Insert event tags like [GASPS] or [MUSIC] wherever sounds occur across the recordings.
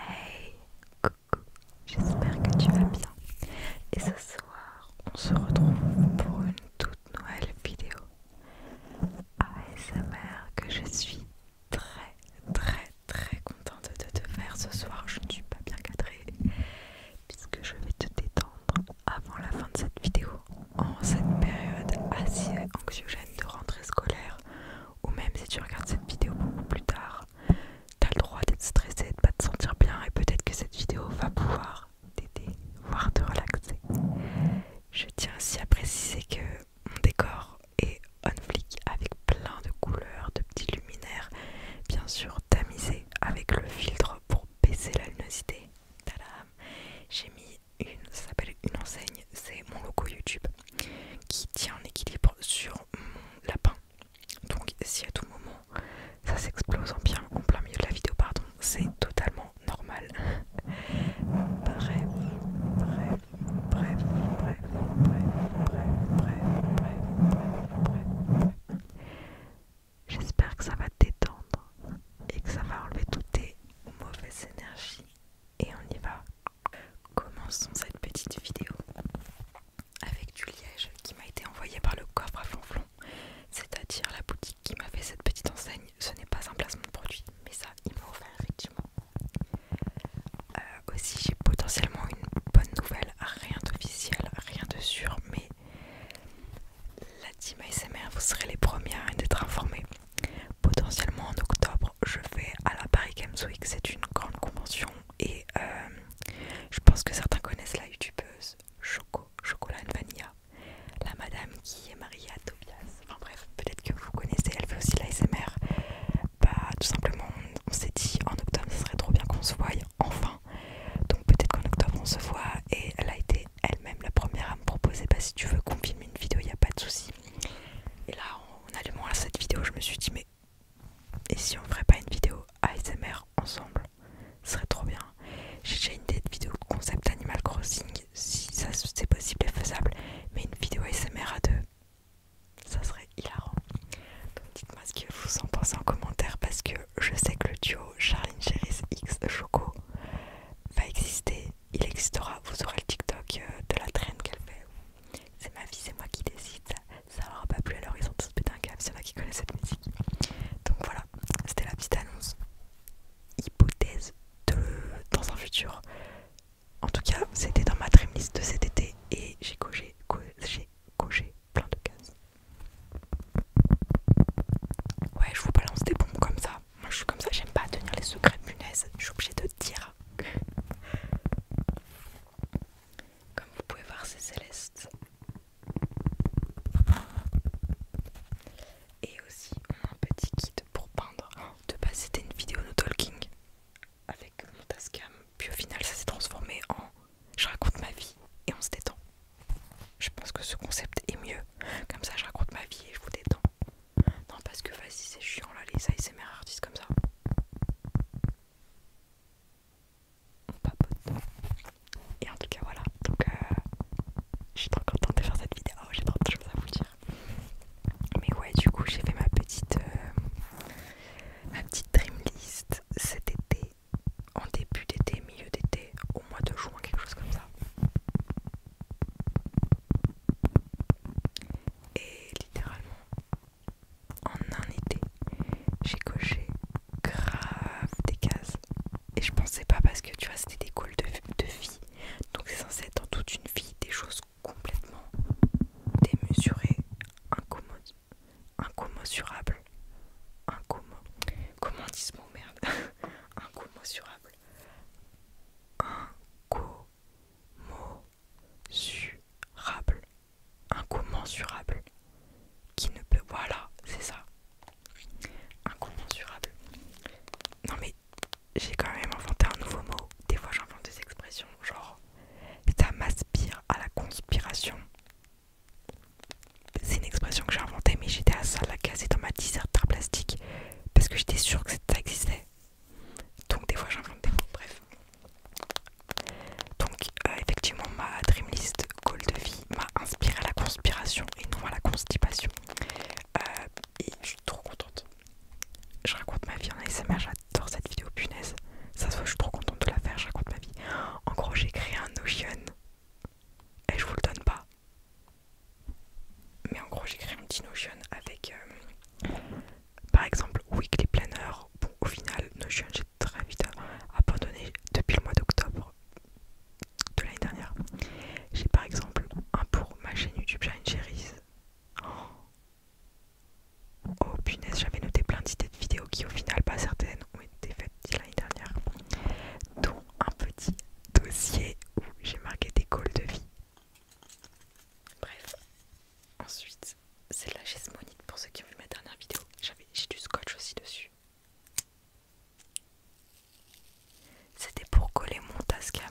Hey, coucou, j'espère que tu vas bien. Et ce soir, on se retrouve pour une toute nouvelle vidéo ASMR que je suis très très très contente de te faire ce soir. Je ne suis pas bien cadrée puisque je vais te détendre avant la fin de cette vidéo. En cette période assez anxiogène de rentrée scolaire, ou même si tu regardes cette vidéo beaucoup plus tard, T'as le droit d'être stressé, de pas te sentir bien et peut-être que cette vidéo va pouvoir t'aider, voire te relaxer. Je tiens aussi à préciser que mon décor est on flick avec plein de couleurs, de petits luminaires, bien sûr tamisés avec le filtre pour baisser la luminosité. J'ai mis une, ça s'appelle une enseigne, c'est mon logo YouTube qui tient en équilibre sur mon lapin. Donc si à tout moment ça s'explose en bien en plein milieu de la vidéo, pardon, c'est totalement normal. bref, bref, bref, bref, bref, J'espère que ça va t'étendre détendre et que ça va enlever toutes tes mauvaises énergies et on y va. Commençons cette petite vidéo avec du liège qui m'a été envoyé par le coffre à flanflon c'est-à-dire la boutique qui m'a fait cette petite enseigne. Ce n'est pas un placement de produit, mais ça, il me offert effectivement. Euh, aussi, j'ai potentiellement une bonne nouvelle, rien d'officiel, rien de sûr, mais la team ASMR, vous serez les premières à être informés. Potentiellement en octobre, je vais à la Paris Games Week, c'est une grande convention et euh, je pense que certains connaissent la youtubeuse Choco, Chocolat Vanilla, la madame qui est mariée à Tobias. Enfin bref, peut-être que vous connaissez, elle fait aussi l'ASMR. Bah, tout simplement, on s'est dit en octobre, ce serait trop bien qu'on se voie enfin. Donc peut-être qu'en octobre, on se voit et elle a été elle-même la première à me proposer bah, si tu veux qu'on filme une vidéo, il n'y a pas de souci. Et là, en allumant cette vidéo, je me suis dit, mais et si on ferait pas une vidéo ASMR ensemble Ce serait trop bien. J'ai déjà une idée de vidéo concept Animal Crossing, si ça c'est possible et faisable, mais une vidéo ASMR à deux, ça serait hilarant. Donc dites-moi ce que vous en pensez en commentaire parce que je sais que le duo Charline Cheris X Choco va exister, il existera, vous aurez le TikTok euh, de la traîne qu'elle fait, c'est ma vie, c'est moi qui décide. Ça aura pas plu alors ils sont tous un c'est moi qui connaissent cette musique. Donc voilà, c'était la petite annonce. Hypothèse de dans un futur. En tout cas, c'était dans ma list de cet été et j'ai coché, J'ai coché plein de cases. Ouais, je vous balance des bombes comme ça. Moi je suis comme ça, j'aime pas tenir les secrets de punaise. Je suis obligée de dire. Comme vous pouvez voir, c'est céleste. Et aussi, on a un petit kit pour peindre. De base, c'était une vidéo no talking avec mon Tascam. Puis au final, ça s'est transformé en je raconte ma vie et on se détend. Je pense que ce concept est mieux. Comme ça, je raconte ma vie et je vous détends. Non, parce que vas-y, c'est chiant là, les ASMR artistes comme ça on Et en tout cas, voilà. Donc, euh, je suis trop contente de faire cette vidéo. J'ai trop de choses à vous dire. Mais ouais, du coup, j'ai fait ma petite, euh, ma petite dream list cet été, en début d'été, milieu d'été, au mois de juin, quelque chose comme ça. Et littéralement, en un été, j'ai coché grave des cases. Et je pensais pas parce que tu vois, c'était des coups de, vie. Donc c'est censé être dans toute une vie des choses complètement démesurées, incommodes, incommensurables. Comment on dit ce mot merde Incommensurable. [LAUGHS] incommo incommensurable, incommensurable, qui ne peut, voilà, c'est ça, incommensurable. Non mais j'ai quand même inventé un nouveau mot. Des fois j'invente des expressions genre ça m'aspire à la conspiration. C'est une expression que j'ai inventée mais j'étais à ça la et dans ma dissertation plastique parce que j'étais sûre que ça existait. Donc des fois de des bref. Donc euh, effectivement ma dreamlist goal de vie m'a inspiré à la conspiration et non à la constipation. Euh, et je suis trop contente. Je raconte ma vie en ASMR, j'adore cette vidéo punaise. Ça se voit, je suis trop contente de la faire, je raconte ma vie. En gros j'ai créé un Notion et je vous le donne pas. Mais en gros j'ai créé un petit Notion avec... Euh, par exemple, Weekly Planner, bon, au final, Notion, j'ai très vite abandonné depuis le mois d'octobre de l'année dernière. J'ai par exemple un pour ma chaîne YouTube, j'ai une oh, oh punaise, j'avais noté plein d'idées de vidéos qui, au final, pas certaines ont été faites l'année dernière, dont un petit dossier où j'ai marqué des goals de vie. Bref, ensuite c'est de la gesmonite pour ceux qui ont vu ma dernière vidéo. J'ai du scotch aussi dessus. C'était pour coller mon Tascam.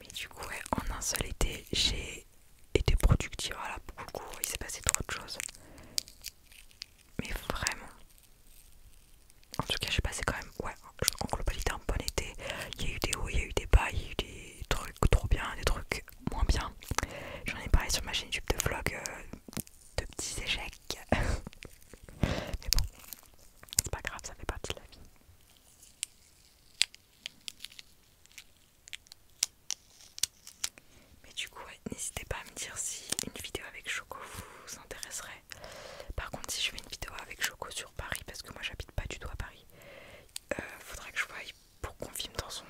Mais du coup, en un seul été, j'ai était productif Voilà, ah beaucoup il s'est passé trop de choses. Mais vraiment. En tout cas, j'ai passé quand même, ouais, en globalité un bon été. Il y a eu des hauts, il y a eu des bas, il y a eu des trucs trop bien, des trucs moins bien. J'en ai parlé sur ma chaîne YouTube de vlog euh, de petits échecs. [LAUGHS] Mais bon, c'est pas grave, ça fait partie de la vie. Mais du coup, n'hésitez pas à me dire si une vidéo avec Choco vous intéresserait. Par contre, si je fais une vidéo avec Choco sur Paris, parce que moi j'habite pas du tout à Paris, euh, faudrait que je voie pour qu'on filme dans son.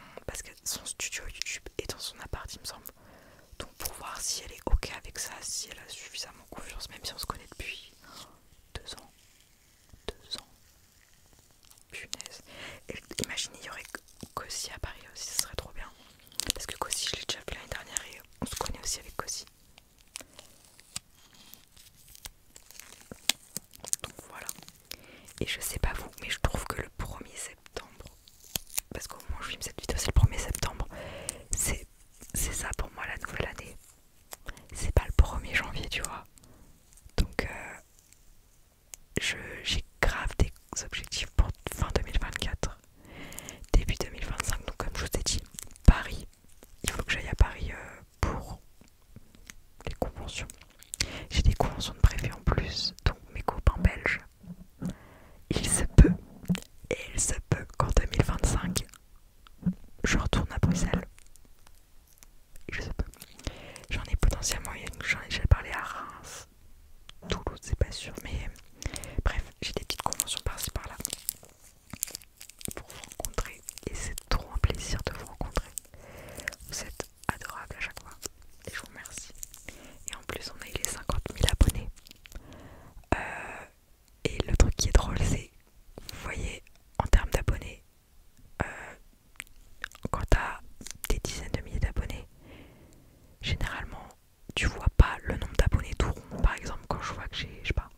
son studio YouTube et dans son appart, il me semble. Donc pour voir si elle est ok avec ça, si elle a suffisamment confiance, même si on se connaît depuis deux ans. Deux ans. Punaise. Et imaginez, il y aurait Cossi à Paris aussi, ce serait trop bien. Parce que Kossi je l'ai déjà vu l'année dernière et on se connaît aussi avec Kossi. Donc voilà. Et je sais pas vous, mais je trouve que le 1er septembre, parce qu'au moment où je filme cette vidéo, c'est le 1er septembre, c'est ça pour moi la nouvelle année. C'est pas le 1er janvier, tu vois. Donc, euh, j'ai grave des objectifs pour fin 2024, début 2025. Donc, comme je vous ai dit, Paris, il faut que j'aille à Paris euh, pour les conventions. J'ai des conventions de préfet en plus, donc mes copains belges. Il se peut, et il se peut qu'en 2025, je retourne à Bruxelles. Il se peut. J'en ai potentiellement, j'en ai déjà parlé à Reims. Toulouse, c'est pas sûr, mais bref, j'ai des petites conventions par-ci par-là pour vous rencontrer et c'est trop un plaisir de vous rencontrer. Vous êtes adorables à chaque fois et je vous remercie. Et en plus, on a eu les 50 000 abonnés. Euh, et le truc qui est drôle, c'est vous voyez, en termes d'abonnés, euh, quand t'as des dizaines de milliers d'abonnés, généralement tu vois pas le nombre d'abonnés tout rond. Par exemple, quand je vois que j'ai, je sais pas,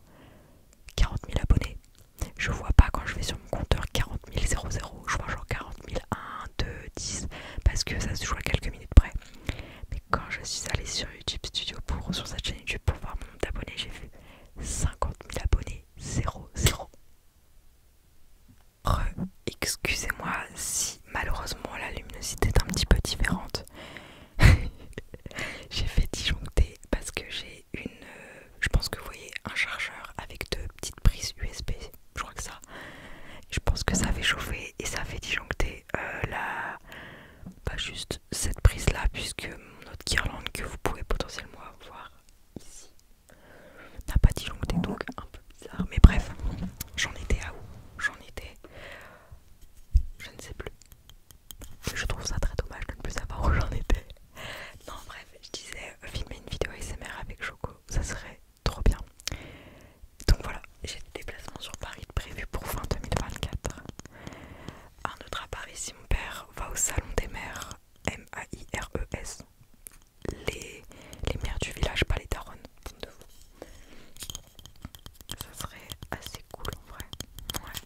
40 000 abonnés, je vois pas quand je vais sur mon compteur 40 000 00, je vois genre 40 000 1, 2, 10, parce que ça se joue à quelques minutes près. Mais quand je suis allée sur YouTube Studio pour sur cette chaîne YouTube pour voir mon nombre d'abonnés, j'ai vu 50 000 abonnés 0, Excusez-moi si malheureusement la luminosité est un petit peu différente. [LAUGHS] j'ai fait disjoncter parce que j'ai une... Euh, je pense que vous voyez un chargeur avec deux petites prises USB. Je crois que ça... Je pense que ça fait chauffer et ça fait disjoncter euh, la... Pas juste cette prise là puisque mon autre guirlande que vous pouvez potentiellement voir ici n'a pas dit disjoncté donc un peu bizarre mais bref j'en étais à où j'en étais je ne sais plus je trouve ça très dommage de ne plus savoir où j'en étais non bref je disais euh, filmer une vidéo ASMR avec Choco ça serait trop bien donc voilà j'ai des déplacements sur Paris prévus pour fin 2024 un autre à Paris si mon père va au salon des mères M-A-I-R-E-S les, mères du village, pas les daronnes, De vous. Ça serait assez cool en vrai. Ouais.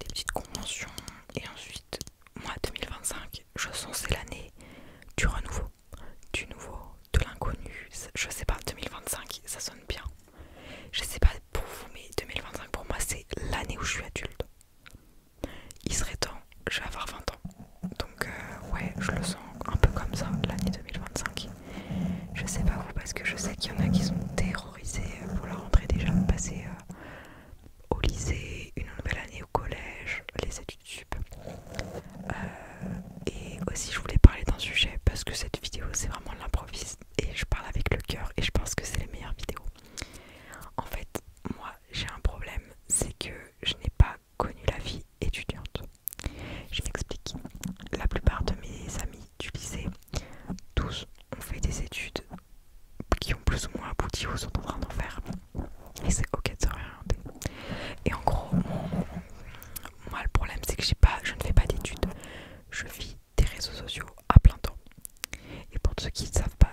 Des petites conventions. Et ensuite, moi 2025, je sens c'est l'année du renouveau. Du nouveau, de l'inconnu. Je sais pas, 2025, ça sonne bien. Je sais pas pour vous, mais 2025 pour moi c'est l'année où je suis adulte il serait temps, je vais avoir 20 ans. Donc euh, ouais, je le sens un peu comme ça, l'année 2025. Je sais pas vous, parce que je sais qu'il y en a qui sont terrorisés euh, pour la rentrée déjà, passer euh, au lycée, une nouvelle année au collège, les études sup. et aussi je voulais parler d'un sujet, parce que cette vidéo c'est vraiment l'improviste, et je parle avec le cœur, et je pense que c'est les meilleures vidéos. En fait, moi j'ai un problème, c'est que je n'ai pas connu la vie étudiante. Je m'explique. La plupart de mes amis du lycée, tous ont fait des études qui ont plus ou moins abouti ou sont en train d'en faire. Et c'est ok de se Et en gros, moi le problème c'est que pas, je ne fais pas d'études. Je vis des réseaux sociaux à plein temps. Et pour ceux qui ne savent pas,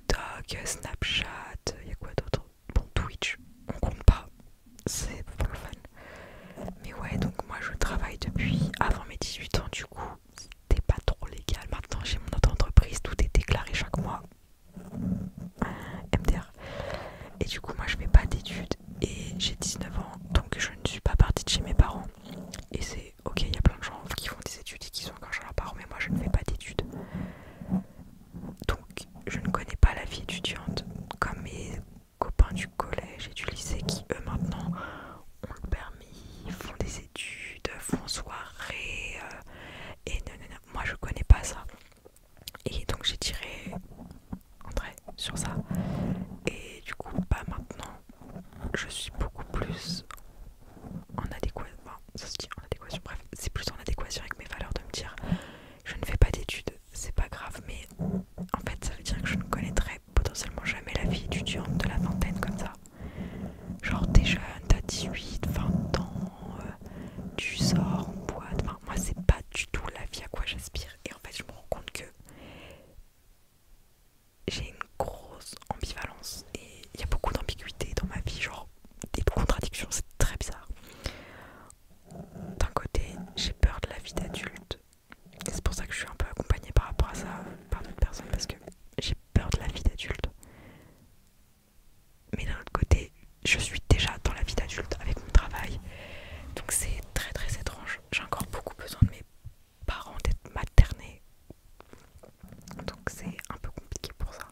TikTok, Snapchat, il y a quoi d'autre Bon, Twitch, on compte pas, c'est pour le fun. Mais ouais, donc moi je travaille depuis avant mes 18 ans, du coup, c'était pas trop légal. Maintenant j'ai mon autre entreprise tout est déclaré chaque mois. MDR. Et du coup, moi je fais pas d'études et j'ai 19 ans, donc je ne suis pas partie de chez mes parents. Et c'est ok, il y a plein de gens qui font des études et qui sont quand chez leurs parents, mais moi je ne fais pas d'études. Donc, je ne connais pas la vie étudiante comme mes copains du collège et du lycée qui, eux, maintenant, ont le permis, font des études, font soirée. Euh, et non, non, moi, je connais pas ça. Et donc, j'ai tiré trait sur ça. Et du coup, pas maintenant, je suis beaucoup plus en adéquation ça se dit en adéquation, bref, c'est plus en adéquation avec mes valeurs de me dire je ne fais pas d'études, c'est pas grave, mais en fait ça veut dire que je ne connaîtrai potentiellement jamais la vie étudiante de la vingtaine comme ça. Genre t'es jeune, t'as 18, 20 ans, euh, tu sors en boîte, enfin moi c'est pas du tout la vie à quoi j'aspire et en fait je me rends compte que j'ai une grosse ambivalence et il y a beaucoup d'ambiguïté dans ma vie, genre des contradictions, c'est très bizarre. D'un côté, j'ai peur de la vie d'adulte, et c'est pour ça que je suis un peu accompagnée par rapport à ça par d'autres personnes, parce que j'ai peur de la vie d'adulte. Mais d'un autre côté, je suis déjà dans la vie d'adulte avec mon travail, donc c'est très très étrange. J'ai encore beaucoup besoin de mes parents, d'être maternés, donc c'est un peu compliqué pour ça.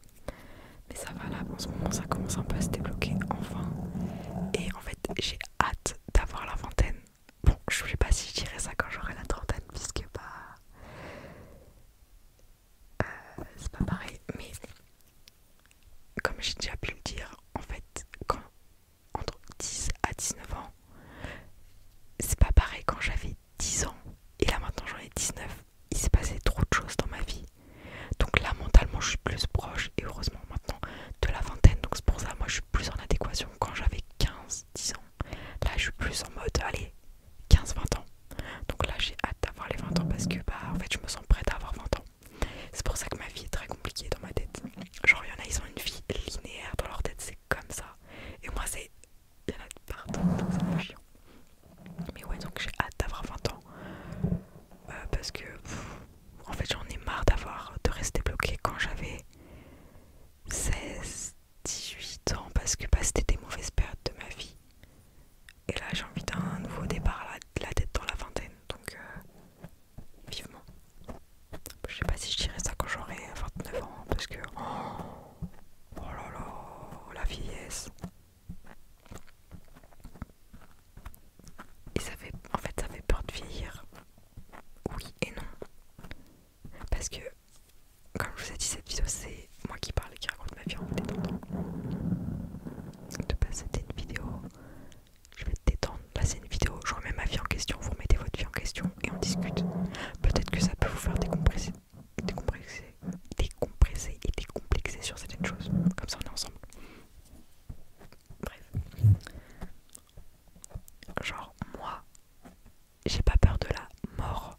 Mais ça va là, en ce moment ça commence un peu à se débloquer enfin. Et en fait j'ai hâte d'avoir la vingtaine. Bon, je sais pas si je dirais ça quand j'aurai la trentaine, puisque bah. Euh, c'est pas pareil, mais comme j'ai déjà pu le dire, en fait, quand entre 10 à 19 ans, c'est pas pareil quand j'avais 10 ans et là maintenant j'en ai 19. Il s'est passé trop de choses dans ma vie. Donc là mentalement je suis plus proche et heureusement maintenant de la vingtaine. Donc c'est pour ça moi je suis plus en adéquation quand j'avais 15-10 ans. Là je suis plus en mode allez 15-20 ans. Donc là j'ai hâte d'avoir les 20 ans parce que bah en fait je me sens prête à avoir 20 ans. C'est pour ça que ma vie est très compliquée dans ma tête. Genre il y en a ils ont une vie linéaire dans leur tête, c'est comme ça. Et moi c'est il y en partout, c'est un chiant. Mais ouais, donc j'ai hâte d'avoir 20 ans. Euh, parce que, en fait, j'en ai marre d'avoir, de rester bloqué quand j'avais 16, 18 ans. Parce que bah, c'était des mauvaises périodes de ma vie. Et là, j'ai envie d'un nouveau départ, la, la tête dans la vingtaine. Donc, euh, vivement. Je sais pas si je dirais ça quand j'aurai 29 ans. Parce que, oh, oh là là, la vieillesse. Et ça fait, en fait, ça fait peur de vieillir. Oui et non. Parce que, comme je vous ai dit, cette vidéo, c'est moi qui parle et qui raconte ma vie en vous détendant. De c'était une vidéo. Je vais te détendre. Là, c'est une vidéo. Je remets ma vie en question. Vous remettez votre vie en question et on discute. Peut-être que ça peut vous faire décompresser décompresser, décompresser et décomplexer sur certaines choses. Comme ça, on est ensemble. Bref. Genre, moi, j'ai pas peur de la mort.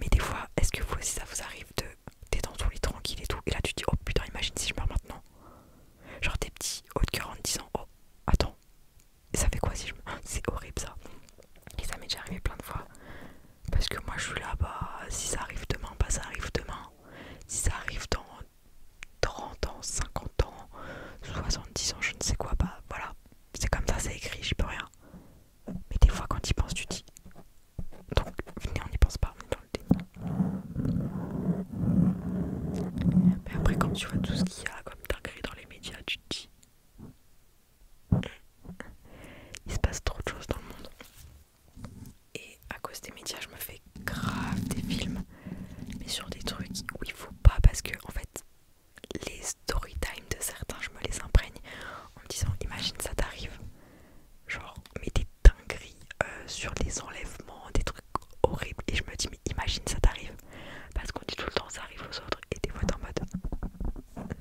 Mais des fois, est-ce que vous aussi, ça vous arrive de. T'es dans ton les tranquille et tout, et là tu dis, oh putain, imagine si je meurs maintenant. Genre, t'es petit, haut de cœur en disant, oh, attends, ça fait quoi si je meurs [GASPS] C'est horrible ça. Et ça m'est déjà arrivé plein de fois. Parce que moi je suis là, bah si ça arrive demain, bah ça arrive demain. Si ça arrive dans 30 ans, 50 ans, 70 ans, je ne sais quoi, bah voilà. C'est comme ça, c'est écrit, j'y peux rien. Mais des fois quand tu y penses, tu dis. Donc venez, on n'y pense pas, on dans le déni. Mais après quand tu vois tout ce qu'il y a comme dinguerie dans les médias, tu te dis. Il se passe trop de choses dans le monde. Et à cause des médias, je me fais grave des films, mais sur des trucs où il faut pas, parce que en fait, les story time de certains, je me les imprègne en me disant Imagine ça t'arrive, genre, mais des dingueries euh, sur des enlèvements, des trucs horribles, et je me dis, mais imagine ça t'arrive, parce qu'on dit tout le temps ça arrive aux autres, et des fois t'es en mode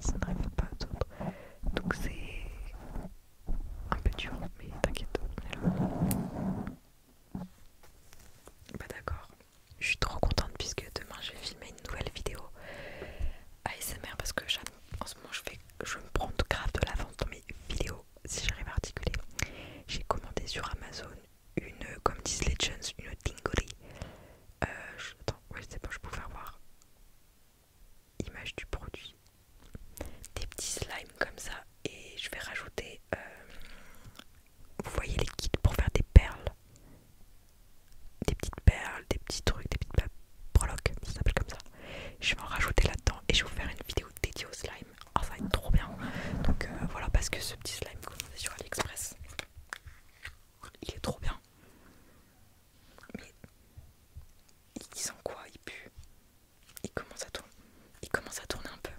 ça ça n'arrive pas aux Donc c'est un peu dur, mais t'inquiète, on est là. Bah d'accord. Je suis trop contente puisque demain je vais filmer une nouvelle vidéo ASMR parce que en ce moment je, je me prends grave de vente dans mes vidéos si j'arrive à articuler. J'ai commandé sur Amazon une, comme disent les une Dingoli euh, je, attends, ouais, c'est bon, je peux faire voir image du produit, des petits slimes comme ça, et je vais rajouter, euh, vous voyez les kits pour faire des perles, des petites perles, des petits trucs, des petites broloques, ça s'appelle comme ça. Je vais en rajouter là-dedans et je vais vous faire une vidéo dédiée au slime. Oh, ça va être trop bien! Donc euh, voilà, parce que ce petit slime que avez sur AliExpress, il est trop bien. Mais il sent quoi Il pue. Il commence à tourner. Il commence à tourner un peu.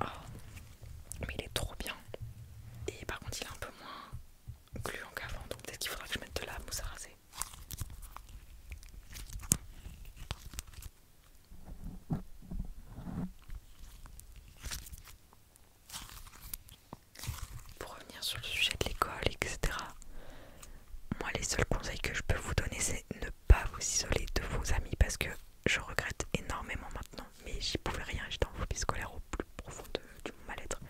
Oh, mais il est trop bien. Et par contre, il est un peu moins gluant qu'avant. Donc peut-être qu'il faudra que je mette de la mousse à raser. Pour revenir sur le sujet de l'école, etc. Moi, les seuls conseils que je peux vous donner, c'est ne pas vous isoler de vos amis parce que je regrette énormément maintenant. Mais j'y pouvais rien, j'étais en phobie scolaire au plus profond de, mal-être.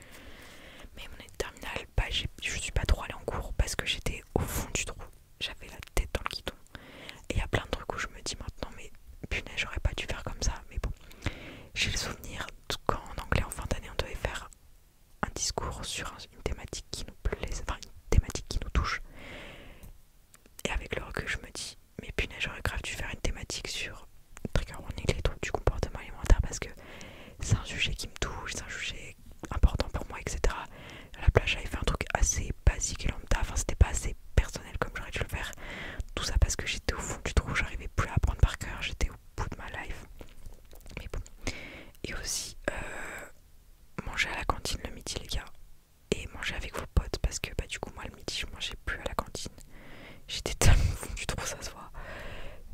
Mais mon est terminale, bah, je suis pas trop allée en cours parce que j'étais au fond du trou. J'avais la tête dans le guidon. Et il y a plein de trucs où je me dis maintenant, mais punaise, j'aurais pas dû faire comme ça. Mais bon. J'ai le souvenir quand en anglais, en fin d'année, on devait faire un discours sur une thématique qui nous plaisait enfin une thématique qui nous touche. Et avec le recul, je me dis, mais punaise, j'aurais grave dû faire une thématique sur trigger warning, les trucs du comportement alimentaire, parce que c'est un sujet qui me touche, c'est un sujet important pour moi, etc. À la plage, j'avais fait un truc assez basique et lambda, enfin, c'était pas assez personnel comme j'aurais dû le faire. Tout ça parce que j'étais au fond du trou, j'arrivais plus à apprendre par cœur, j'étais bout de ma life. Mais bon. Et aussi, euh, manger à la cantine le midi, les gars. Et manger avec vos potes parce que bah, du coup, moi le midi, je mangeais plus à la cantine. J'étais [LAUGHS] tellement fondue trop, ça se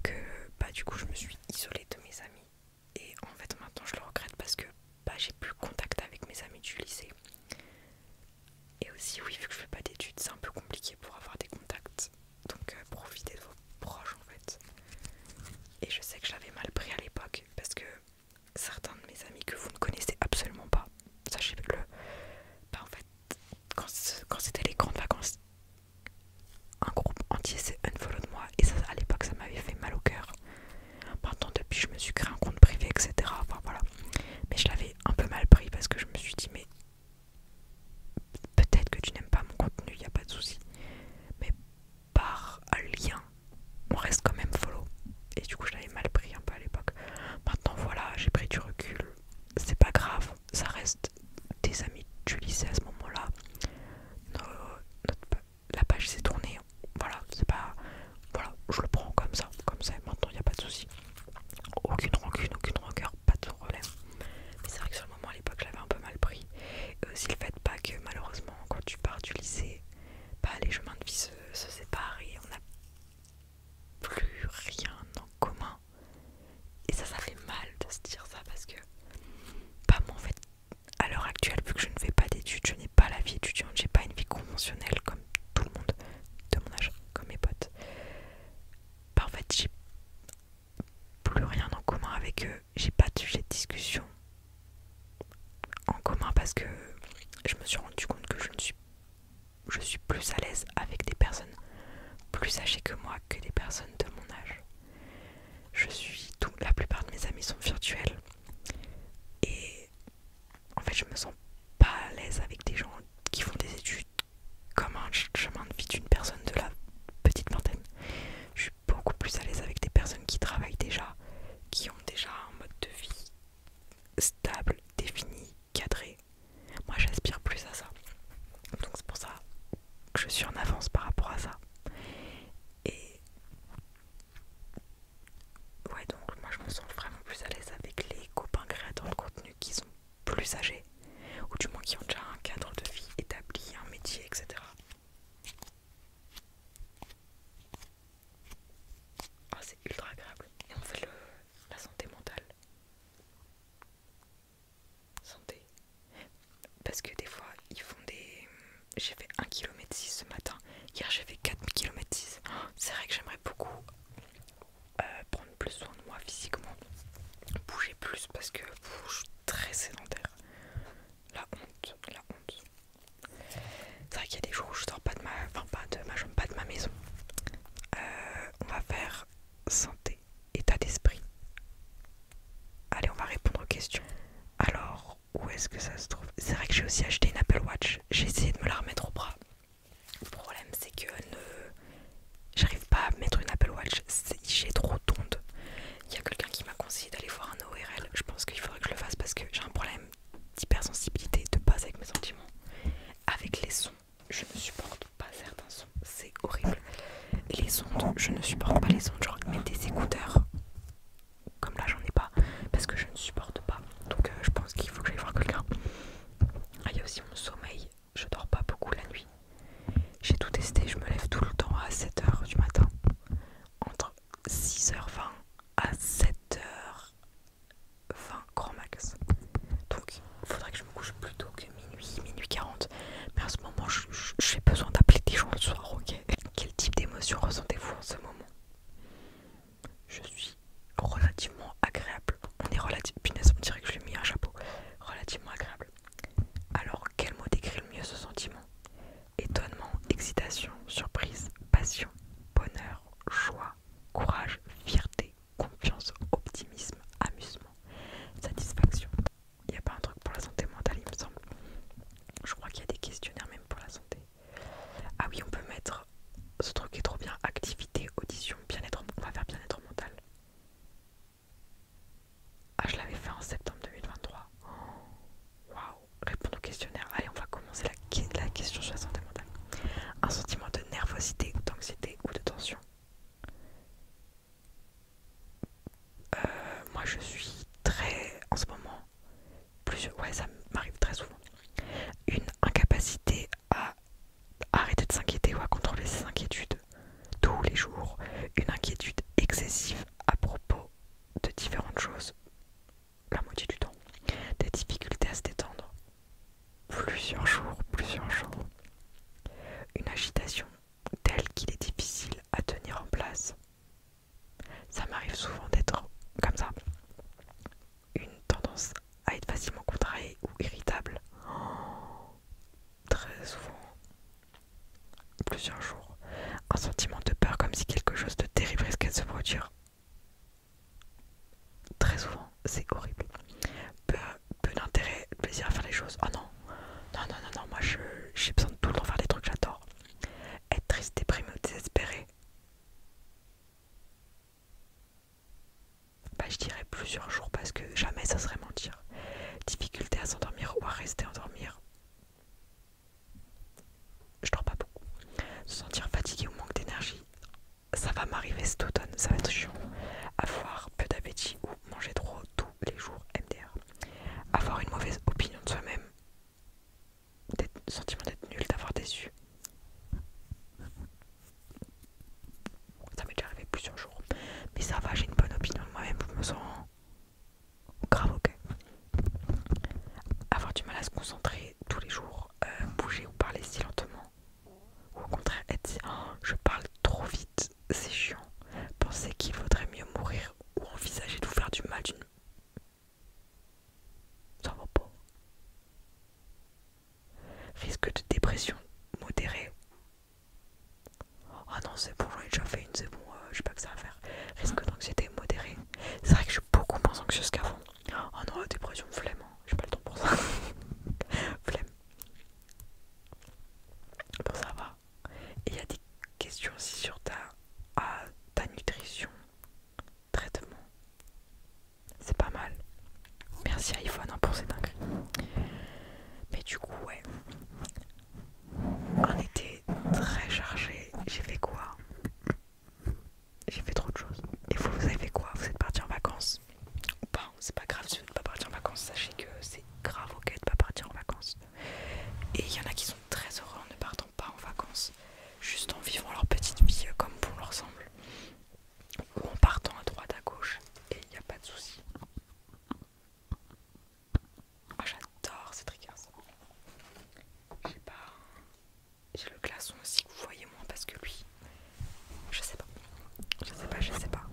que bah, du coup, je me suis isolée de mes amis. Et en fait, maintenant, je le regrette parce que bah, j'ai plus contact avec mes amis du lycée. Et aussi, oui, vu que je fais pas d'études, c'est un peu compliqué pour avoir des contacts donc euh, profitez de vos proches en fait. Et je sais que je l'avais mal pris à l'époque parce que certains de mes amis que vous ne connaissez absolument pas, sachez-le, bah, en fait, quand c'était les grandes vacances, un groupe entier s'est unfollow de moi et ça, à l'époque ça m'avait fait mal au cœur. Maintenant, depuis, je me suis créé un compte privé, etc. Enfin voilà. Mais je l'avais un peu mal pris parce que je me suis dit, mais peut-être que tu n'aimes pas mon contenu, il n'y a pas de souci. Mais par lien, on reste quand même follow. Et du coup, je l'avais mal pris un peu à l'époque. Maintenant, voilà, j'ai pris du recul. C'est pas grave, ça reste des amis du lycée à ce moment-là. La page s'est tournée. Voilà, c'est pas. Voilà, je le prends comme ça, comme ça. Maintenant, il n'y a pas de souci. Aucune rancune, aucune rancœur pas de problème. Mais c'est vrai que sur le moment à l'époque j'avais un peu mal pris. Et euh, aussi le fait pas que malheureusement quand tu pars du lycée, bah, les chemins de vie se, séparent et on a plus rien en commun. Et ça, ça fait mal de se dire ça parce que, pas bah, moi en fait, à l'heure actuelle, vu que je ne fais pas d'études, je n'ai pas la vie étudiante, j'ai pas une vie conventionnelle comme tout le monde de mon âge, comme mes potes. Bah, en fait, j'ai plus rien en commun avec eux. J'ai pas de sujet de discussion en commun parce que je me suis rendu compte que je ne suis je suis plus à l'aise avec des personnes plus âgées que moi que des personnes de mon âge. Je suis tout, la plupart de mes amis sont virtuels et en fait je me sens pas à l'aise avec des gens qui font des études comme un chemin de vie d'une personne de la petite vingtaine. Je suis beaucoup plus à l'aise avec des personnes qui travaillent déjà, qui ont déjà un mode de vie stable, défini, cadré. Moi j'aspire plus à ça. Donc c'est pour ça que je suis en avance par rapport à ça. Et ouais donc moi je me sens vraiment plus à l'aise avec les copains créateurs de contenu qu'ils ont plus âgés, ou du moins qui ont déjà un cadre de vie établi, un métier, etc. Oh, ah, c'est ultra agréable. Et on fait le, la santé mentale. Santé. Parce que des fois, ils font des... J'ai fait 1 km 6 ce matin. Hier, j'ai fait 4 km 6. C'est vrai que j'aimerais beaucoup euh, prendre plus soin de moi physiquement, bouger plus parce que je suis très sédentaire. La honte, la honte. C'est vrai qu'il y a des jours où je sors pas de ma, ma maison. Euh, on va faire santé, état d'esprit. Allez, on va répondre aux questions. Alors, où est-ce que ça se trouve C'est vrai que j'ai aussi acheté une Apple Watch. J'ai essayé de me la remettre au bras. Le problème c'est que ne... j'arrive pas à mettre une Apple Watch, j'ai trop d'ondes. Il y a quelqu'un qui m'a conseillé d'aller voir un ORL, je pense qu'il faudrait que je le fasse parce que j'ai un problème d'hypersensibilité, de base avec mes sentiments. Avec les sons, je ne supporte pas certains sons, c'est horrible. Les ondes, je ne supporte pas les ondes, genre mais des écouteurs comme là j'en ai pas parce que je ne supporte pas donc euh, je pense qu'il faut que j'aille voir quelqu'un ah il y a aussi mon sommeil je dors pas beaucoup la nuit. J'ai tout testé, je me lève tout le temps à 7h du matin. Entre 6h20 à 7h20 grand max. Donc il faudrait que je me couche plutôt que minuit, minuit 40. Mais en ce moment, j'ai besoin d'appeler des gens le soir, ok [LAUGHS] Quel type d'émotion ressentez-vous en ce moment Je suis relativement agréable on est relativement. dirait que je lui ai mis un chapeau. Relativement agréable. Alors, quel mot décrit le mieux ce sentiment Étonnement, excitation, surprise, passion, bonheur, joie, courage, fierté, confiance, optimisme, amusement, satisfaction. Il n'y a pas un truc pour la santé mentale, il me semble. Je crois qu'il y a des questionnaires même pour la santé. Ah oui, on peut mettre ce truc est trop bien. Activité, audition, bien-être. On va faire bien-être mental. Ah, je l'avais fait en septembre 2023. Waouh! Répondre au questionnaire. Allez, on va commencer la, la question sur la santé mentale. Un sentiment de nervosité d'anxiété ou de tension? Euh, moi je suis très en ce moment plus ouais ça m'arrive très souvent une incapacité à arrêter de s'inquiéter ou à contrôler ses inquiétudes tous les jours, une inquiétude excessive à propos de différentes choses, la moitié du temps, des difficultés à se détendre, plusieurs jours, plusieurs jours, une agitation telle qu'il est difficile à tenir en place. Ça m'arrive souvent d'être comme ça, une tendance à être facilement contrariée ou irritable très souvent plusieurs jours, un sentiment de peur comme si quelque chose de terrible risquait de se produire. Très souvent, c'est horrible. Peu, peu d'intérêt, plaisir à faire les choses. Oh non, non, non, non, non, moi j'ai besoin de tout le temps faire des trucs, j'adore. Être triste, déprimé ou désespéré bah, je dirais plusieurs jours parce que jamais ça serait mentir. Difficulté à s'endormir ou à rester endormir. Je dors pas beaucoup. Se sentir fatigué ou manque d'énergie, ça va m'arriver cet automne, ça va être chiant. Avoir peu d'appétit ou manger trop tous les jours, MDR. Avoir une mauvaise opinion de soi-même, sentiment d'être nul, d'avoir déçu. Ça m'est déjà arrivé plusieurs jours. Mais ça va, j'ai une bonne opinion de moi-même, je me sens grave ok. Avoir du mal à se concentrer tous les jours, euh, bouger ou parler si lentement. Ou au contraire, être oh, je parle trop vite, c'est chiant. Penser qu'il vaudrait mieux mourir ou envisager de vous faire du mal d'une. Ça va pas. Risque de dépression modérée. Ah non, c'est bon, j'en ai déjà fait une, c'est bon, euh, je sais pas que ça va faire. Risque d'anxiété modérée. C'est vrai que je suis beaucoup moins anxieuse qu'avant. Ah non, la dépression, flemme, je hein. j'ai pas le temps pour ça. [LAUGHS] flemme. Bon, ça va. Et il y a des questions aussi sur ta, ah, ta nutrition, traitement. C'est pas mal. Merci iPhone hein, pour ces dingueries. Mais du coup, ouais. Un été très chargé. J'ai fait quoi J'ai fait trop de choses. Et vous, vous avez fait quoi Vous êtes parti en vacances Ou pas C'est pas grave si vous n'êtes pas partir en vacances. Sachez que c'est grave ok de pas partir en vacances. Et il y en a qui sont très heureux en ne partant pas en vacances. Juste en vivant leur petite vie euh, comme bon leur semble ou en partant à droite à gauche et il n'y a pas de souci. Ah, j'adore ces triggers. J'ai pas. J'ai le glaçon aussi vous voyez moins parce que lui. Je sais pas. Je sais pas, je sais pas.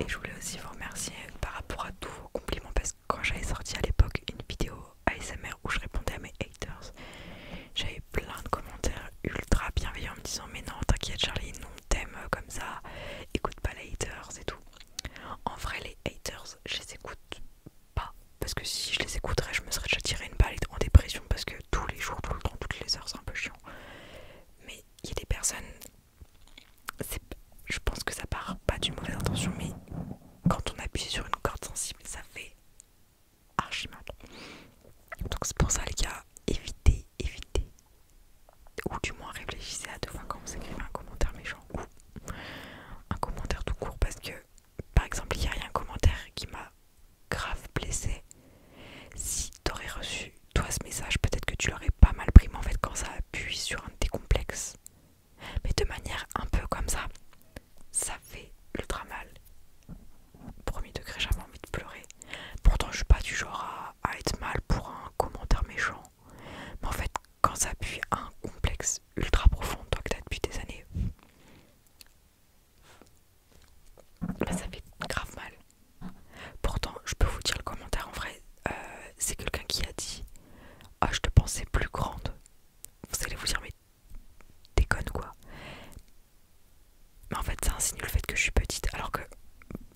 Et je voulais aussi vous remercier par rapport à tous vos compliments parce que quand j'avais sorti à l'époque une vidéo ASMR où je répondais à mes haters, j'avais plein de commentaires ultra bienveillants en me disant mais non t'inquiète Charlie non t'aimes euh, comme ça écoute pas les haters et tout en vrai les haters je les écoute pas parce que si je les écouterais je me serais déjà tiré une balle en dépression parce que tous les jours tout le temps toutes les heures c'est un peu chiant mais il y a des personnes je pense que ça part pas d'une mauvaise intention mais quand on appuie sur une corde sensible ça fait archi mal donc c'est pour ça les gars, évitez, évitez. Ou du moins réfléchissez à deux fois quand vous écrivez un commentaire méchant ou un commentaire tout court. Parce que par exemple il y a un commentaire qui m'a grave blessé. Si t'aurais reçu toi ce message, peut-être que tu l'aurais pas mal pris, mais en fait quand ça appuie sur un de complexes, mais de manière un peu comme ça, ça fait ultra mal premier degré, j'avais envie de pleurer. Pourtant, je suis pas du genre à, être mal pour un commentaire méchant. Mais en fait, quand ça appuie un complexe ultra profond, toi que t'as depuis des années, bah, ça fait grave mal. Pourtant, je peux vous dire le commentaire en vrai, euh, c'est quelqu'un qui a dit Ah, je te pensais plus grande. Vous allez vous dire, mais déconne quoi. Mais en fait, ça signe le fait que je suis petite, alors que,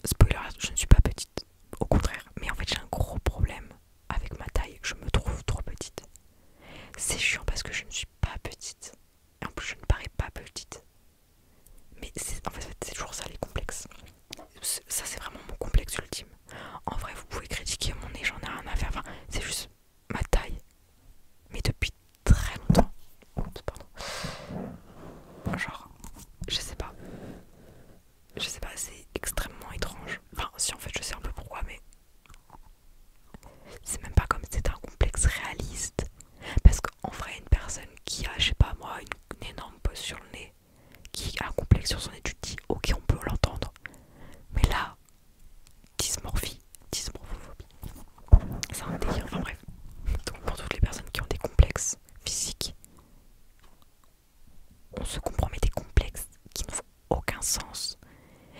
spoiler, je ne suis pas petite, au contraire. Mais en fait, j'ai un gros problème avec ma taille, je me trouve trop petite. C'est chiant parce que je ne suis pas petite. Et en plus, je ne parais pas petite. Mais en fait, c'est toujours ça les complexes. Ça, c'est vraiment mon complexe ultime. En vrai, vous pouvez critiquer mon nez, j'en ai rien à faire. Enfin, c'est juste ma taille. Mais depuis très longtemps. Genre, je sais pas. Je sais pas, c'est extrêmement étrange. Enfin, si en fait, je sais un peu pourquoi, mais c'est même pas comme c'était un complexe réaliste. Parce qu'en vrai, une personne qui a, je sais pas moi, une, énorme bosse sur le nez, qui a un complexe sur son étude, dit ok, on peut l'entendre. Mais là, dysmorphie, dysmorphie, c'est un délire, enfin bref. Donc pour toutes les personnes qui ont des complexes physiques, on se compromet des complexes qui n'ont aucun sens.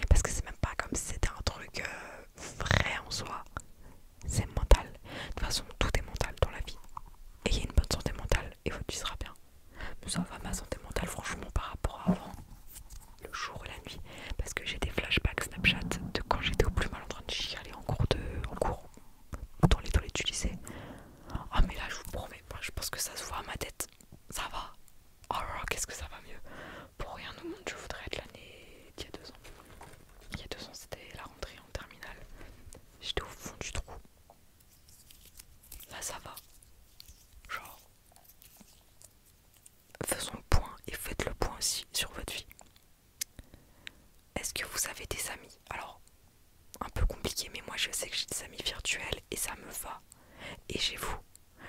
Parce que c'est même pas comme si c'était un truc euh, vrai en soi. C'est mental. De toute façon, tout est mental dans la vie. Ayez une bonne santé mentale et votre vie sera bien. Mais ça va ma santé mentale, franchement, par rapport à avant, le jour et la nuit. Parce que j'ai des flashbacks Snapchat de quand j'étais au plus mal j'y suis en cours, de, en cours dans les toilettes du Ah, mais là, je vous promets, je pense que ça se voit à ma tête. Ça va. Oh là là, qu'est-ce que ça va mieux. Pour rien au monde, je voudrais être l'année d'il y a deux ans. Il y a deux ans, c'était la rentrée en terminale. J'étais au fond du trou. Là, ça va. Genre, faisons le point et faites le point aussi sur votre vie. Est-ce que vous avez des amis Alors, un peu compliqué, mais moi je sais que j'ai des amis virtuels et ça me va. Et j'ai vous.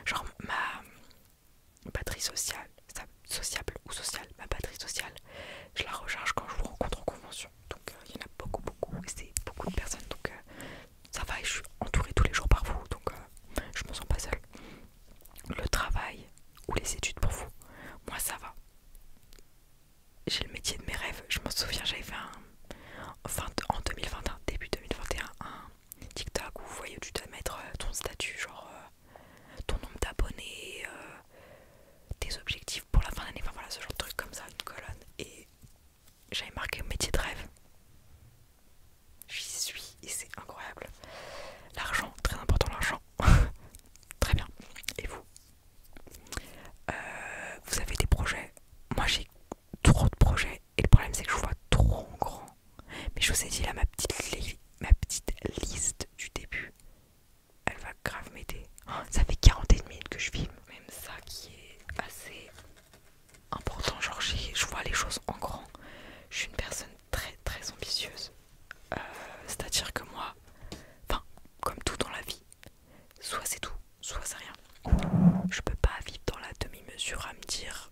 Genre, ma batterie sociale, sociable ou sociale, ma batterie sociale, je la recharge quand je vous rencontre en convention. Donc, euh, il y en a beaucoup, beaucoup, et c'est beaucoup de personnes. Donc, euh, ça va, et je suis entourée tous les jours par vous. Donc, euh, je me sens pas seule le travail ou les études pour vous. Moi, ça va. J'ai le métier de mes rêves. Je m'en souviens, j'avais fait un. en 2021, début 2021, un TikTok où vous voyez, où tu dois mettre euh, ton statut, genre euh, ton nombre d'abonnés, euh, tes objectifs pour la fin d'année. Enfin, voilà, ce genre de truc comme ça, une colonne. Et j'avais marqué métier de rêve. J'y suis et c'est incroyable. L'argent, très important l'argent. [LAUGHS] Très bien. Et vous euh, Vous avez des projets Moi j'ai trop de projets et le problème c'est que je vois trop en grand. Mais je vous ai dit là ma petite, ma petite liste du début. Elle va grave m'aider. Oh, ça fait 41 minutes que je filme. Même ça qui est assez important. Genre je vois les choses en grand. Je suis une personne très très ambitieuse. Euh, c'est-à-dire que moi, enfin, comme tout dans la vie, soit c'est tout, soit c'est rien. Je peux pas vivre dans la demi-mesure à me dire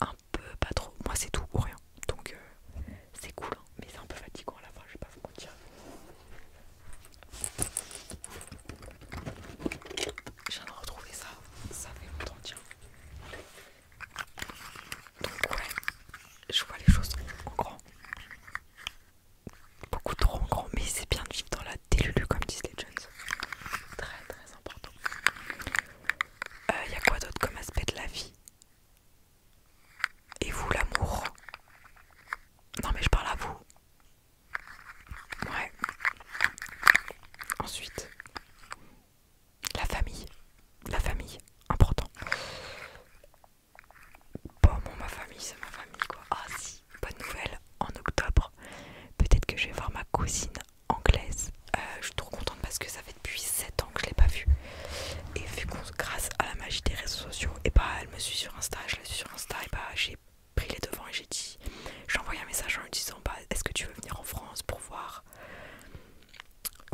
un peu pas trop. Moi, c'est tout ou rien. Donc, euh, c'est cool, hein. mais c'est un peu fatigant à la fin, je vais pas vous viens de retrouver ça, ça fait longtemps, tiens. Donc ouais, je vois les choses en grand. Beaucoup trop en grand, mais c'est bien de vivre dans la délulue comme disent les Très très important. Il euh, y a quoi d'autre comme aspect de la vie Et vous l'amour Non mais je parle à vous. Ouais. Ensuite, la famille. La famille, important. Bon, ma famille, c'est ma famille quoi. Ah si, bonne nouvelle, en octobre, peut-être que je vais voir ma cousine anglaise. Euh, je suis trop contente parce que ça fait depuis 7 ans que je l'ai pas vue. Et vu grâce à la magie des réseaux sociaux, et bah elle me suit sur Insta, je la suis sur Insta, et bah j'ai pris les devants et j'ai dit, j'ai envoyé un message en lui disant, bah est-ce que tu veux venir en France pour voir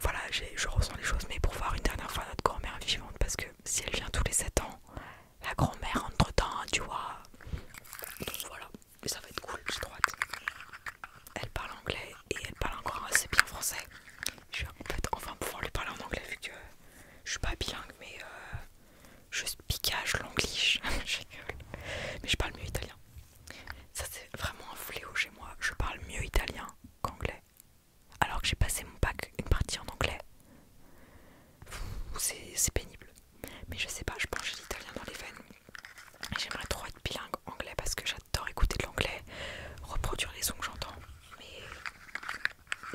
voilà, je ressens les choses, mais pour voir une dernière fois notre grand-mère vivante, parce que si elle vient tous les 7 ans, la grand-mère entre-temps, tu vois. voilà, ça va être cool, droite. Elle parle anglais et elle parle encore assez bien français. Je vais enfin pouvoir lui parler en anglais vu que je suis pas bilingue, mais euh, je piquage l'anglish, [LAUGHS] je Mais je parle mieux italien. Ça c'est vraiment un fléau chez moi. Je parle mieux italien qu'anglais. Alors que j'ai passé mon bac une partie en anglais. C'est pénible. Mais je sais pas, je pense que j'ai l'italien dans les veines. J'aimerais trop être bilingue anglais parce que j'adore écouter de l'anglais, reproduire les sons que j'entends. Mais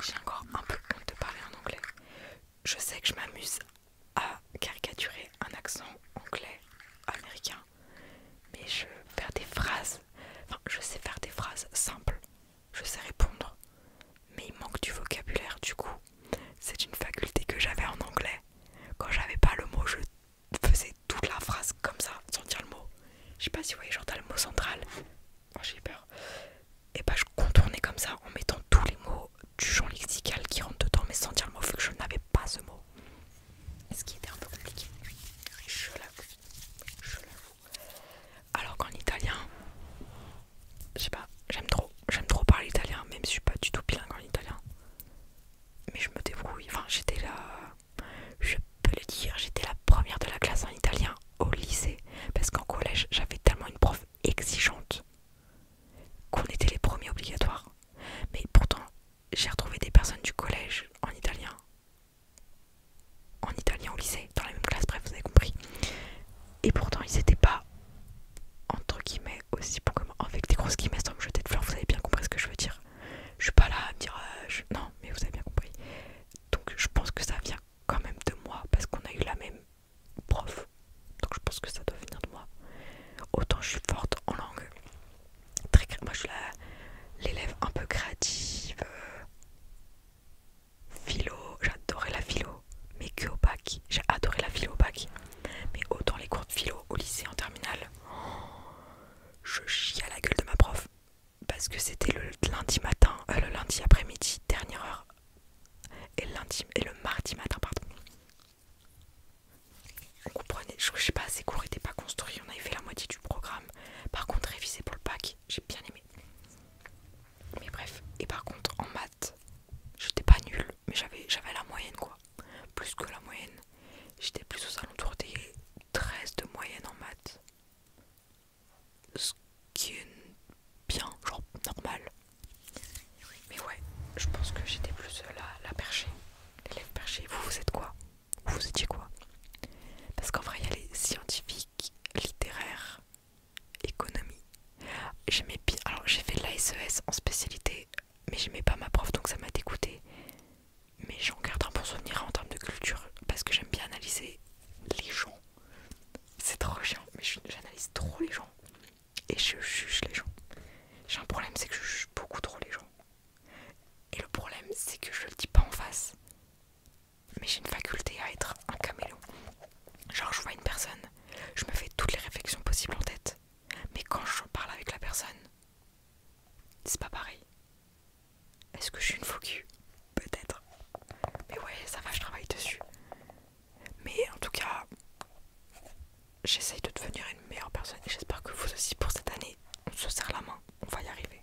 j'ai encore un peu honte de parler en anglais. Je sais que je m'amuse à caricaturer un accent anglais américain mais je faire des phrases. Enfin, je sais faire des phrases simples, je sais répondre, mais il manque du vocabulaire du coup. C'est une faculté que j'avais en anglais. Quand j'avais pas le mot, je faisais toute la phrase comme ça, sans dire le mot. Je sais pas si vous voyez, genre le mot central. Oh, j'ai peur. Et bah, je contournais comme ça en mettant tous les mots du genre lexical qui rentrent dedans, mais sans dire le mot, vu que je n'avais pas ce mot. Ce qui était un peu compliqué. Je l'avoue. Alors qu'en italien, je sais pas, j'aime trop. J'aime trop parler italien, même si je suis pas du tout bilingue en italien. Mais je me débrouille. Enfin, j'étais là. Je peux le dire, j'étais la première de la classe en italien au lycée. Parce qu'en collège, j'avais tellement une prof exigeante qu'on était les premiers obligatoires. Mais pourtant, j'ai retrouvé des personnes du collège en italien, en italien au lycée, dans la même classe, bref, vous avez compris. Et pourtant, ils n'étaient pas, entre guillemets, aussi pour que moi, avec des grosses guillemets sans me jeter de fleurs, vous avez bien compris ce que je veux dire. Je suis pas là à me dire, euh, non, mais vous avez bien compris. Donc, je pense que ça vient quand même de moi, parce qu'on a eu la même prof. Donc, je pense que ça doit venir de moi. Autant je suis forte en langue, Très, moi je suis l'élève un peu créative, euh, philo, j'adorais la philo, mais que au bac, j'ai adoré la philo au bac, mais autant les cours de philo au lycée en terminale, oh, je chie à la gueule de ma prof parce que c'était le lundi matin, euh, le lundi après-midi, dernière heure, et, lundi, et le mardi matin, pardon. Vous comprenez, je, sais pas, ces cours n'étaient pas construit, on avait fait la moitié du programme. Par contre, réviser pour le bac, j'ai bien aimé. Mais bref, et par contre, en maths, j'étais pas nulle, mais j'avais la moyenne quoi. Plus que la moyenne, j'étais plus aux alentours des 13 de moyenne en maths. Ce qui est bien, genre normal. Mais ouais, je pense que j'étais plus la, la perchée, l'élève perchée. Vous, vous êtes quoi vous étiez quoi Parce qu'en vrai, il y a les scientifiques, littéraires, économie. J'aimais Alors, j'ai fait l'ASES e en spécialité, mais j'aimais pas ma prof, donc ça m'a dégoûté. Mais j'en garde un bon souvenir en termes de culture, parce que j'aime bien analyser les gens. C'est trop chiant, mais j'analyse trop les gens. Et je juge les gens. J'ai un problème, c'est que je juge beaucoup trop les gens. Et le problème, c'est que je le dis pas en face. Mais j'ai une faculté à être un camélo. Genre, je vois une personne, je me fais toutes les réflexions possibles en tête. Mais quand je parle avec la personne, c'est pas pareil. Est-ce que je suis une faux Peut-être. Mais ouais, ça va, je travaille dessus. Mais en tout cas, j'essaye de devenir une meilleure personne et j'espère que vous aussi pour cette année on se serre la main, on va y arriver.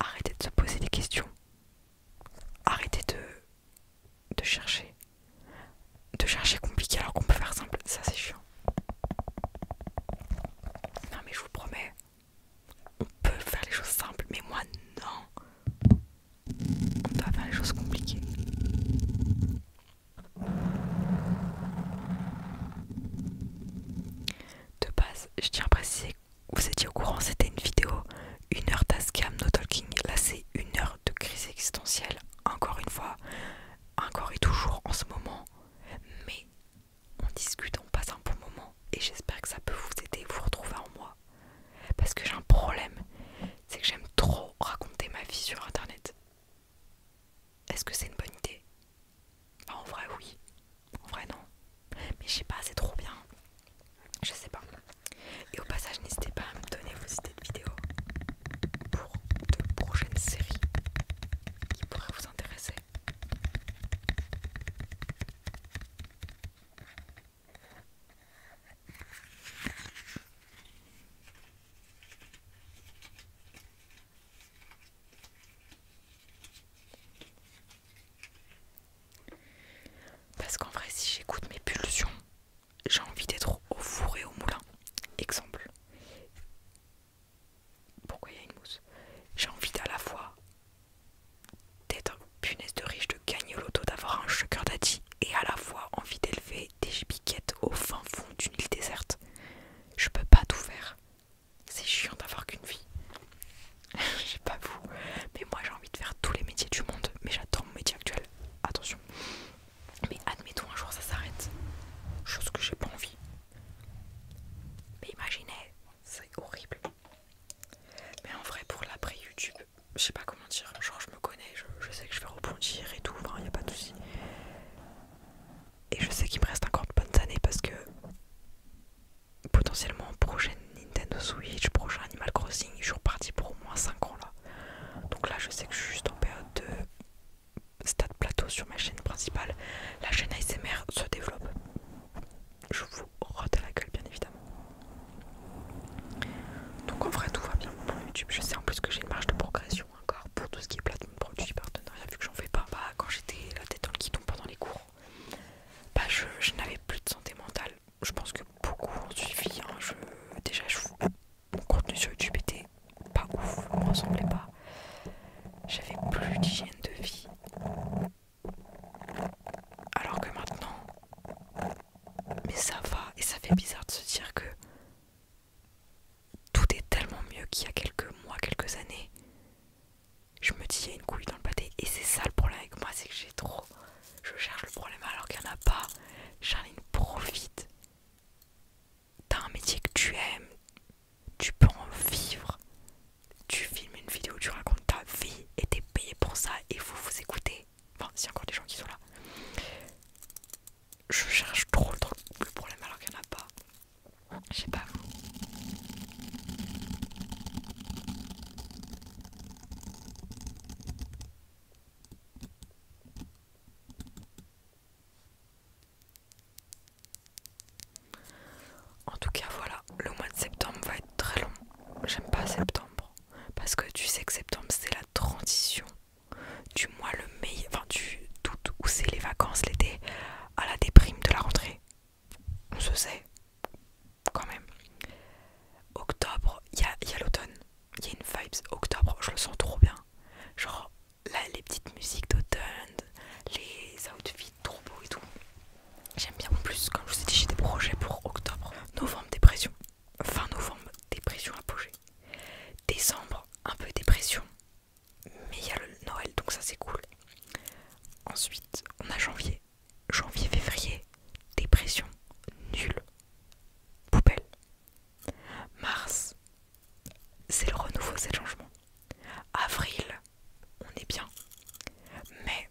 Arrêtez de se poser des questions. Arrêtez de, de chercher. De chercher compliqué alors qu'on peut faire simple. Ça c'est chiant. Non mais je vous promets, on peut faire les choses simples, mais moi non. On doit faire les choses compliquées. De base, je tiens à préciser, vous étiez au courant, c'était une vidéo, une heure d'ascam, no talking. Là, c'est une heure de crise existentielle, encore une fois, encore et toujours en ce moment. Mais on discute, on passe un bon moment et j'espère que ça peut vous aider, vous retrouver en moi. Parce que j'ai un problème, c'est que j'aime trop raconter ma vie sur internet. Est-ce que c'est une bonne idée en vrai, oui. En vrai, non. Mais je sais pas, c'est trop bien. Je sais pas. Et au passage, n'hésitez pas à me donner vos idées de vidéos pour de prochaines séries qui pourraient vous intéresser. Parce qu'en vrai, si j'écoute mes pulsions, j'ai envie d'être au four et au moulin. Exemple. Pourquoi il y a une mousse J'ai envie à la fois d'être punaise de riche, de gagner loto, d'avoir un sugar daddy et à la fois envie d'élever des piquettes au fin fond d'une île déserte. Je peux pas tout faire. C'est chiant d'avoir qu'une vie. [LAUGHS] Je sais pas vous, mais moi j'ai envie de faire tous les métiers du monde, mais j'adore mon métier actuel. Attention. Mais admettons un jour ça s'arrête. Chose que j'ai pas envie. Mais imaginez, c'est horrible. Mais en vrai pour l'après YouTube, je sais pas comment dire, genre je me connais, je, sais que je vais rebondir et tout, il a pas de soucis. Et je sais qu'il me reste encore de bonnes années parce que potentiellement prochaine Nintendo Switch, prochain Animal Crossing, je suis reparti pour au moins 5 ans là. Donc là je sais que je suis juste en période de stade plateau sur ma chaîne principale. La chaîne ASMR se développe. Je vous rote la gueule bien évidemment. Donc en vrai tout va bien pour YouTube. Je sais en plus que j'ai une marge de progression encore pour tout ce qui est mon produit partenariat vu que j'en fais pas pas bah, quand j'étais la tête dans le guidon pendant les cours bah je, n'avais plus de santé mentale je pense que beaucoup ont suivi hein. je, déjà je, mon contenu sur YouTube était pas ouf ne me ressemblait pas j'avais plus d'hygiène de vie alors que maintenant mais ça va et ça fait bizarre de se dire que tout est tellement mieux qu'il y a quelques mois, quelques années. Je me dis, il y a une couille dans le pâté. Et c'est ça le problème avec moi, c'est que j'ai trop. Je cherche le problème alors qu'il n'y en a pas. Charline, profite. T'as un métier que tu aimes. Tu peux en vivre. Tu filmes une vidéo, tu racontes ta vie et t'es payé pour ça et vous vous écoutez. Enfin, s'il encore des gens qui sont là. Je cherche trop le problème alors qu'il n'y en a pas. Je sais pas En tout cas, voilà, le mois de septembre va être très long. J'aime pas septembre parce que tu sais que septembre c'est la transition du mois le mais enfin tu doute où c'est les vacances l'été à la déprime de la rentrée. On se sait quand même. Octobre, il y a, l'automne. Il y a une vibes octobre, je le sens trop bien. Genre là, les petites musiques d'automne, les outfits trop beaux et tout. J'aime bien en plus, comme je vous ai dit, j'ai des projets pour octobre. Novembre, dépression. Fin novembre, dépression apogée. Décembre, un peu dépression mais il y a le Noël donc ça c'est cool. Ensuite on a janvier, janvier, février, dépression, nulle poubelle. Mars, c'est le renouveau, c'est le changement. Avril, on est bien. mais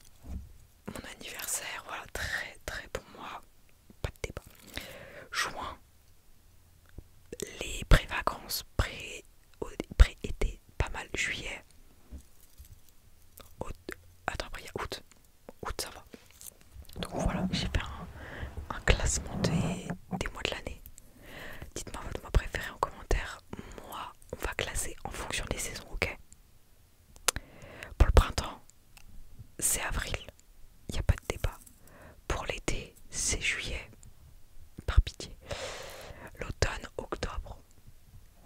mon anniversaire, voilà, très très bon moi, pas de débat. Juin, les pré-vacances, pré-été, pas mal, juillet, août, attends après il y a août, août ça va. Donc voilà, j'ai fait un, classement des, des mois de l'année. Dites-moi votre mois préféré en commentaire. Moi, on va classer en fonction des saisons, ok Pour le printemps, c'est avril, il n'y a pas de débat. Pour l'été, c'est juillet, par pitié. L'automne, octobre.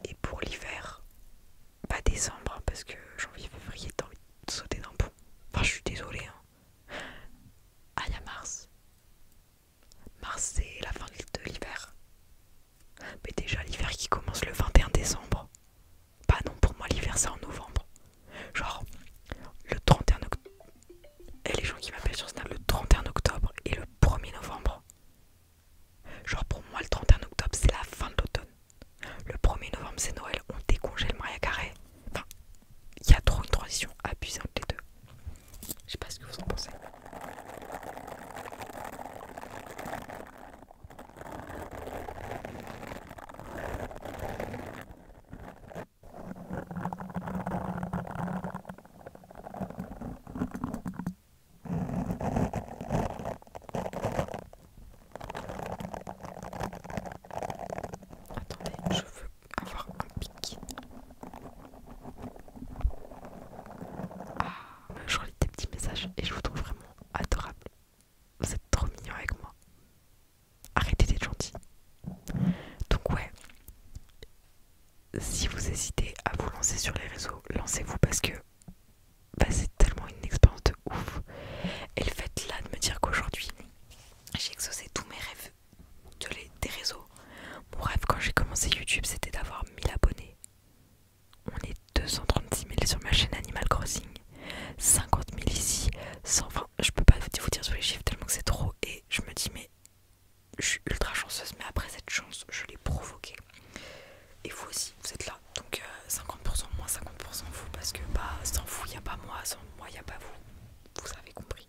Et pour l'hiver, pas bah, décembre, parce que janvier, février, t'as envie de sauter dans le pont. Enfin, je suis désolée. Hein. Ah, y a mars. Mars, c'est la fin de l'hiver. Mais déjà, l'hiver qui commence le 21 décembre. pas bah, non, pour moi, l'hiver, c'est en novembre. Genre, le 31 octobre et les gens qui m'appellent sur Snapchat le 31 octobre et le 1er novembre. Genre pour moi le 31 octobre c'est la fin de l'automne. Le 1er novembre c'est Noël, on décongèle Maria Carré. Enfin, il y a trop une transition abusive entre les deux. Je sais pas ce que vous en pensez. Attendez, je veux avoir un pic. Ah, je relis des petits messages et je vous trouve vraiment adorable. Vous êtes trop mignons avec moi. Arrêtez d'être gentil. Donc ouais, si vous hésitez à vous lancer sur les réseaux, lancez-vous parce que bah, c'est tellement une expérience de ouf. Et le fait là de me dire qu'aujourd'hui j'ai exaucé tous mes rêves de des réseaux. Mon rêve quand j'ai commencé YouTube c'était d'avoir 1000 abonnés. On est 236 000 sur ma chaîne Animal Crossing, 50 000 ici, 120. Je peux pas vous dire sur les chiffres tellement que c'est trop et je me dis mais je suis ultra chanceuse, mais après cette chance, je l'ai provoquée. Et vous aussi, vous êtes là. Donc 50% euh, moins 50% vous, parce que bah, sans vous, il n'y a pas moi, sans moi, il n'y a pas vous. Vous avez compris.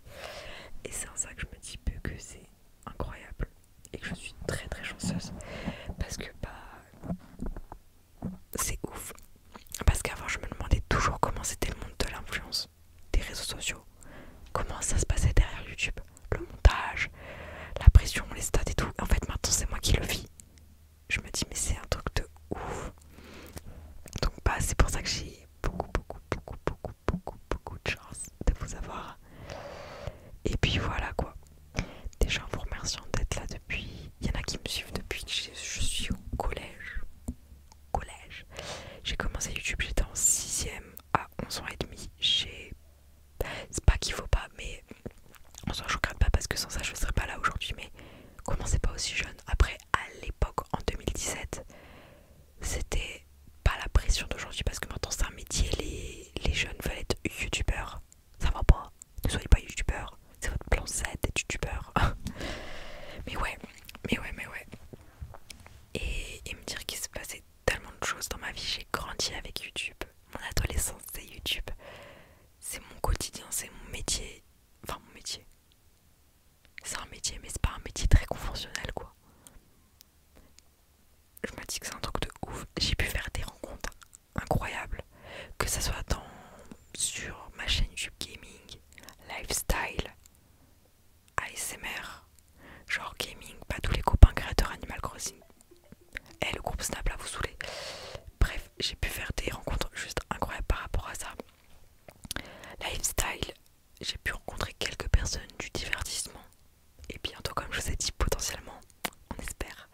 Et c'est en ça que je me dis peu que c'est incroyable et que je suis très très chanceuse. Parce que bah, c'est ouf. Parce qu'avant, je me demandais toujours comment c'était le monde de l'influence des réseaux sociaux, comment ça se passait derrière YouTube, le montage, la pression, les stats et tout. En fait, maintenant, c'est moi qui le vis. Je me dis, mais c'est un truc de ouf. Donc, bah, c'est pour ça que j'ai beaucoup, beaucoup, beaucoup, beaucoup, beaucoup, beaucoup de chance de vous avoir. Et puis voilà quoi. Déjà, en vous remerciant d'être là depuis. Il y en a qui me suivent depuis que je suis au collège collège. J'ai commencé YouTube, j'étais en 6ème à 11 ans et demi. J'ai... C'est pas qu'il faut pas, mais en soi je regrette pas parce que sans ça je serais pas là aujourd'hui. Mais commencez pas aussi jeune. Après, à l'époque, en 2017, c'était pas la pression d'aujourd'hui parce que maintenant c'est un métier, les, jeunes veulent être youtubeurs. Ça va pas, ne soyez pas youtubeurs. C'est votre plan Z d'être youtubeur. [LAUGHS] mais ouais, mais ouais, mais ouais et, me dire qu'il se passait tellement de choses dans ma vie. J'ai grandi avec YouTube. Mon adolescence, c'est YouTube. C'est mon quotidien, c'est mon métier. Enfin, mon métier. C'est un métier, mais c'est pas un métier très conventionnel, quoi. Je me dis que c'est un truc de ouf. J'ai pu faire des rencontres incroyables. Que ce soit sur ma chaîne YouTube Gaming, Lifestyle, ASMR, genre gaming, pas tous les copains créateurs Animal Crossing. Et eh, le groupe Snap là vous saoulez. Bref, j'ai pu faire des rencontres juste incroyables par rapport à ça. Lifestyle, j'ai pu rencontrer quelques personnes du divertissement. Et bientôt, comme je vous ai dit, potentiellement, on espère.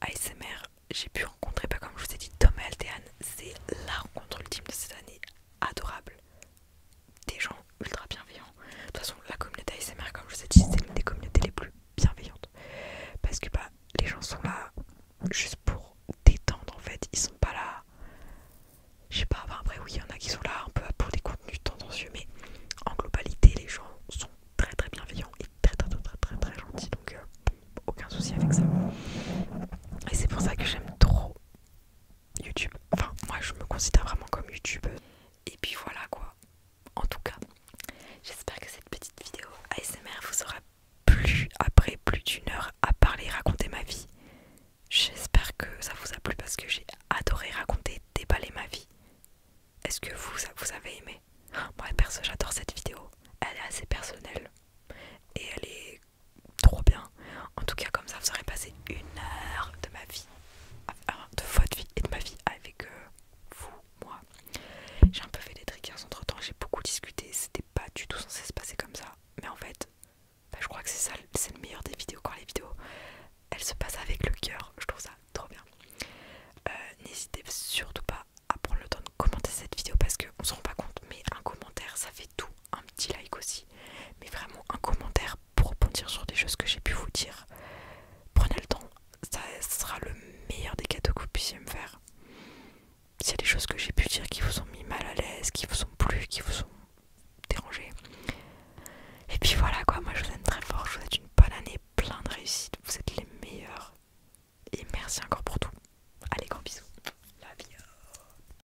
ASMR, j'ai pu rencontrer, pas bah, comme je vous ai dit, Tom et C'est la rencontre ultime de cette année. Adorable des gens ultra bienveillants. De toute façon, la communauté ASMR, comme je vous ai dit, c'est l'une des communautés les plus bienveillantes. Parce que bah, les gens sont là juste pour détendre en fait. Ils sont pas là. Je sais pas, après, oui, il y en a qui sont là un peu pour des contenus tendancieux, mais en globalité, les gens sont très très bienveillants et très très très très très, gentils. Donc, euh, aucun souci avec ça. Et c'est pour ça que j'aime trop YouTube. Enfin, moi je me considère vraiment comme YouTube. Et puis voilà quoi. En tout cas, j'espère que cette petite vidéo ASMR vous aura plu après plus d'une heure à parler, raconter ma vie. J'espère que ça vous a plu parce que j'ai adoré raconter, déballer ma vie. Est-ce que vous, vous avez aimé Moi perso j'adore cette vidéo. Elle est assez personnelle. Et elle est trop bien. En tout cas, comme ça, vous aurez passé une heure de ma vie, euh, de votre vie et de ma vie avec euh, vous, moi. J'ai un peu fait des triggers entre temps, j'ai beaucoup discuté, c'était pas du tout censé se passer comme ça. Mais en fait, bah, je crois que c'est ça, c'est le meilleur des vidéos quand les vidéos elles se passent avec le cœur, je trouve ça trop bien. Euh, n'hésitez surtout pas à prendre le temps de commenter cette vidéo parce qu'on se rend pas compte, mais un commentaire ça fait tout un petit like aussi, mais vraiment un commentaire pour rebondir sur des choses que j'ai pu vous dire. Prenez le temps, ça sera le meilleur des cadeaux que vous puissiez me faire. S'il y a des choses que j'ai pu dire qui vous ont mis mal à l'aise, qui vous ont plu, qui vous ont dérangé. Et puis voilà quoi, moi je vous aime très fort, je vous souhaite une bonne année, plein de réussite, vous êtes les meilleurs. Et merci encore pour tout. Allez, grand bisous. La vie.